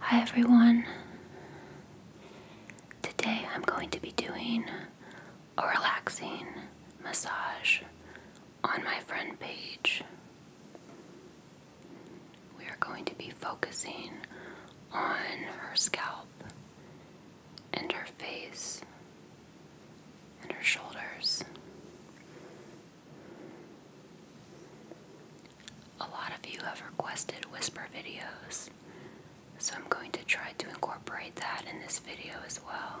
Hi everyone. Today I'm going to be doing a relaxing massage on my friend Paige. We are going to be focusing on her scalp and her face and her shoulders. A lot of you have requested whisper videos, so I'm going to try to incorporate that in this video as well.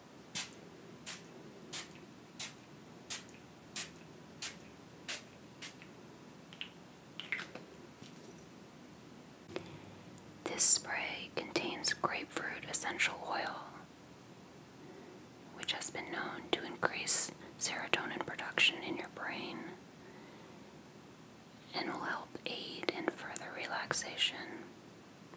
This spray contains grapefruit essential oil, which has been known to increase serotonin production in your brain and will help aid in further relaxation.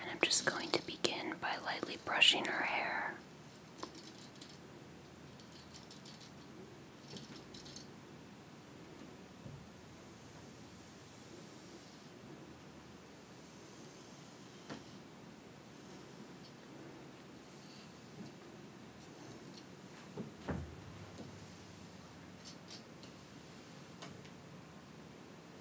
And I'm just going to begin by lightly brushing her hair.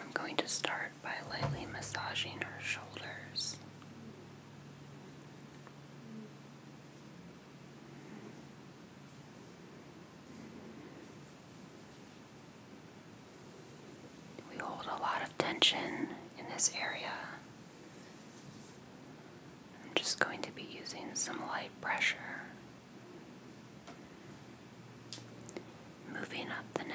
I'm going to start by lightly massaging her shoulders. We hold a lot of tension in this area. I'm just going to be using some light pressure Moving up the neck.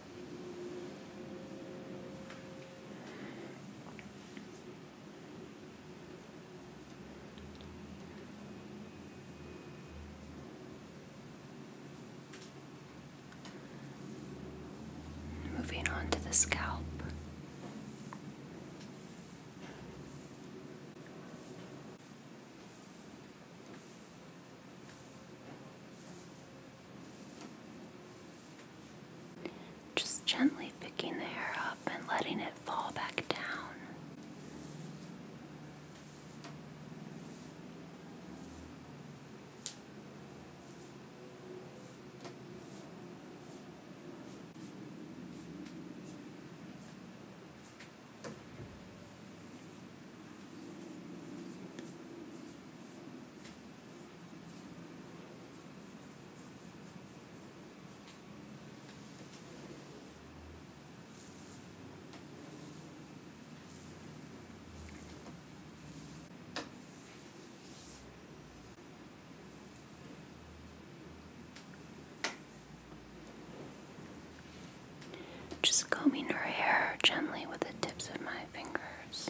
Moving on to the scalp. Just gently picking the hair up and letting it fall back down. Just combing her hair gently with the tips of my fingers.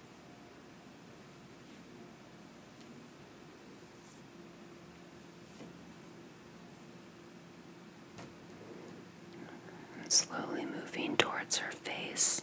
slowly moving towards her face.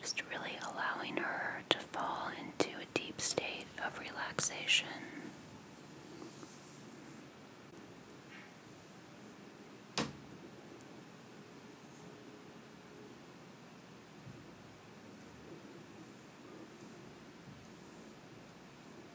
Just really allowing her to fall into a deep state of relaxation.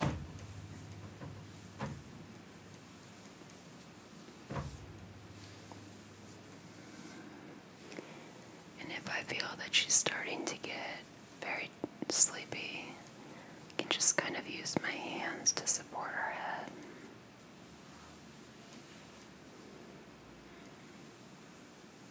And if I feel that she's starting to get very sleepy, I can just kind of use my hands to support her head.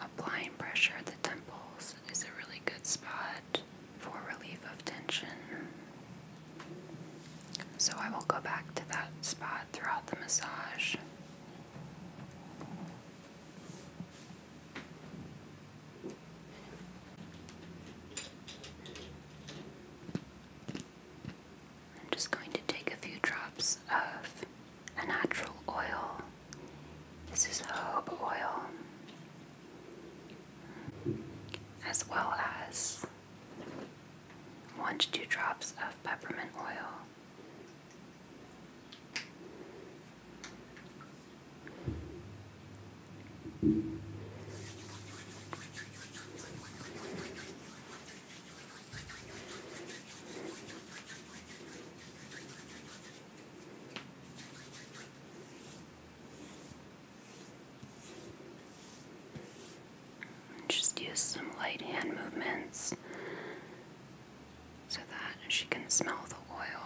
Applying pressure at the temples is a really good spot for relief of tension. So I will go back to that spot throughout the massage. I'm just going to take a few drops of a natural oil. This is jojoba oil, as well as one to two drops of peppermint oil. Just use some light hand movements so that she can smell the oil.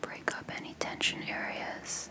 Break up any tension areas.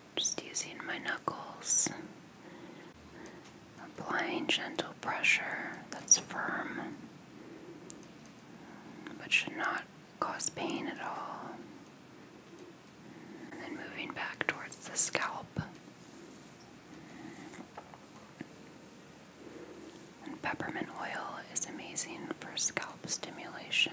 Just using my knuckles, applying gentle pressure that's firm but should not cause pain at all. And then moving back towards the scalp. And peppermint oil is amazing for scalp stimulation.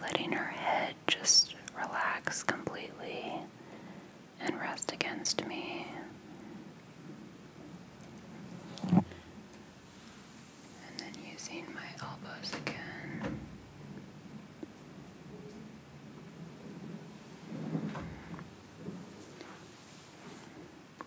Letting her head just relax completely and rest against me. And then using my elbows again.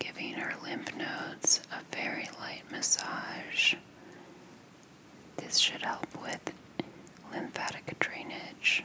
giving her lymph nodes a very light massage this should help with lymphatic drainage.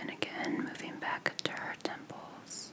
And again, moving back to her temples.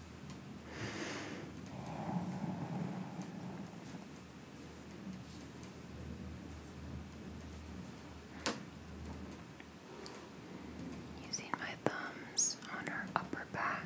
Using my thumbs on her upper back.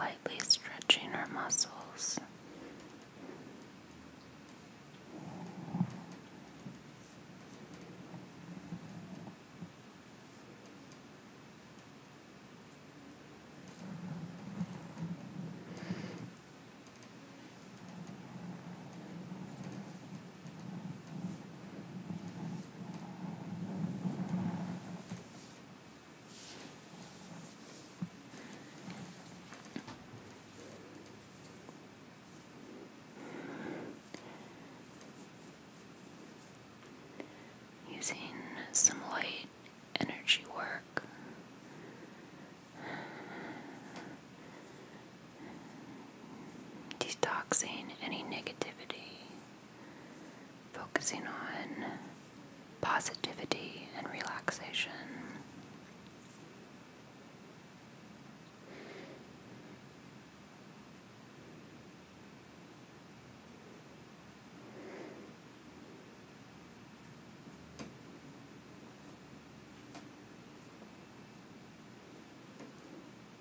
Lightly stretching our muscles. Using some light energy work detoxing any negativity, focusing on positivity and relaxation.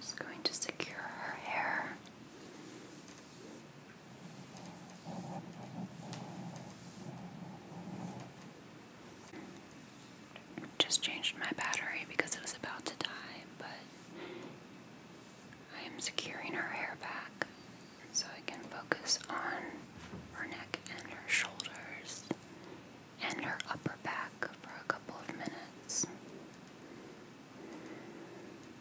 Just going to secure her hair. Just changed my battery because it was about to die, but I am securing her hair back so I can focus on her neck and her shoulders and her upper back for a couple of minutes.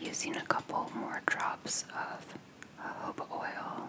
Using a couple more drops of jojoba oil.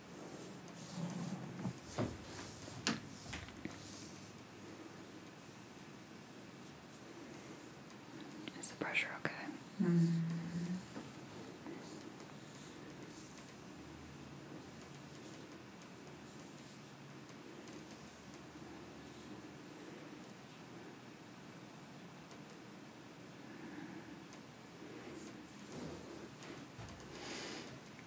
Is the pressure okay? -hmm.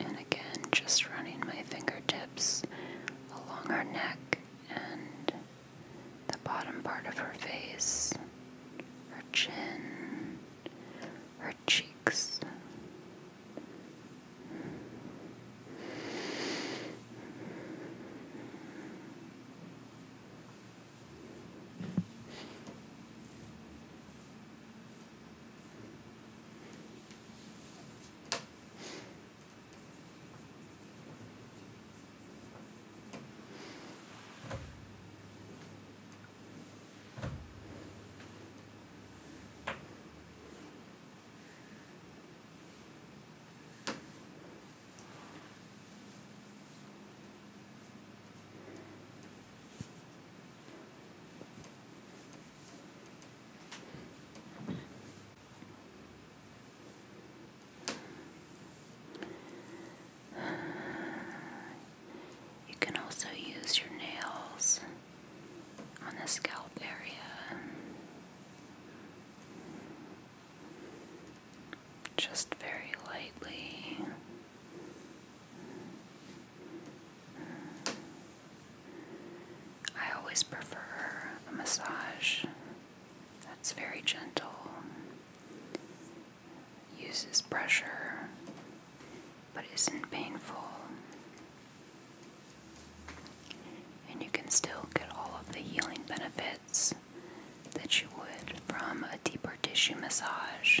And again, just running my fingertips along her neck and the bottom part of her face, her chin, her cheeks. You can also use your nails on the scalp area. Just very lightly. I always prefer a massage that's very gentle, uses pressure, but isn't painful. And you can still get all of the healing benefits that you would from a deeper tissue massage.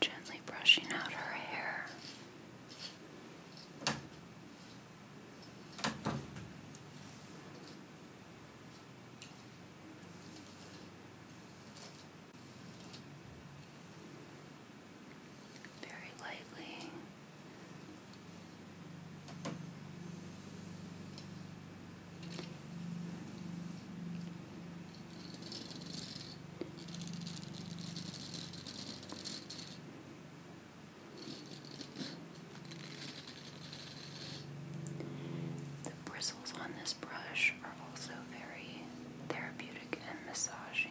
gently brushing out her hair. Very lightly. The bristles on this brush are also very therapeutic and massaging.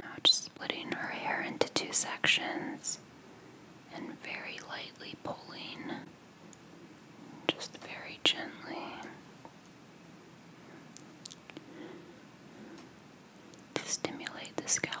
Now, just splitting her hair into two sections and very lightly pulling just very gently. To stimulate the scalp,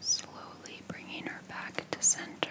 Slowly bringing her back to center.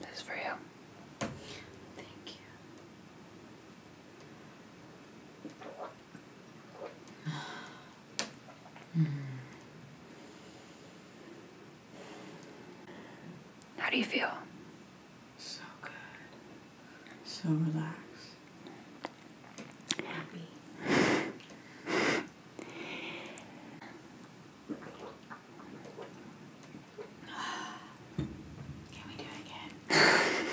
This is for you. Thank you. mm. How do you feel? So good. So relaxed. Happy. Can we do it again?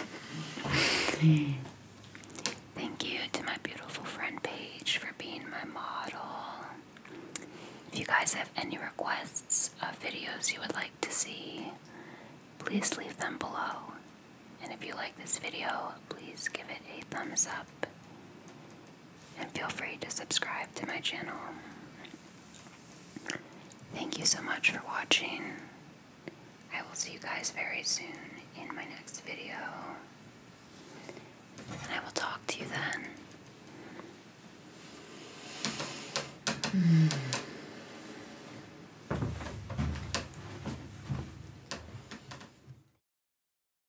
Thank you to my beautiful friend Paige for being my model. If you guys have any requests of videos you would like to see, please leave them below. And if you like this video, please give it a thumbs up and feel free to subscribe to my channel. Thank you so much for watching. I will see you guys very soon in my next video. And I will talk to you then.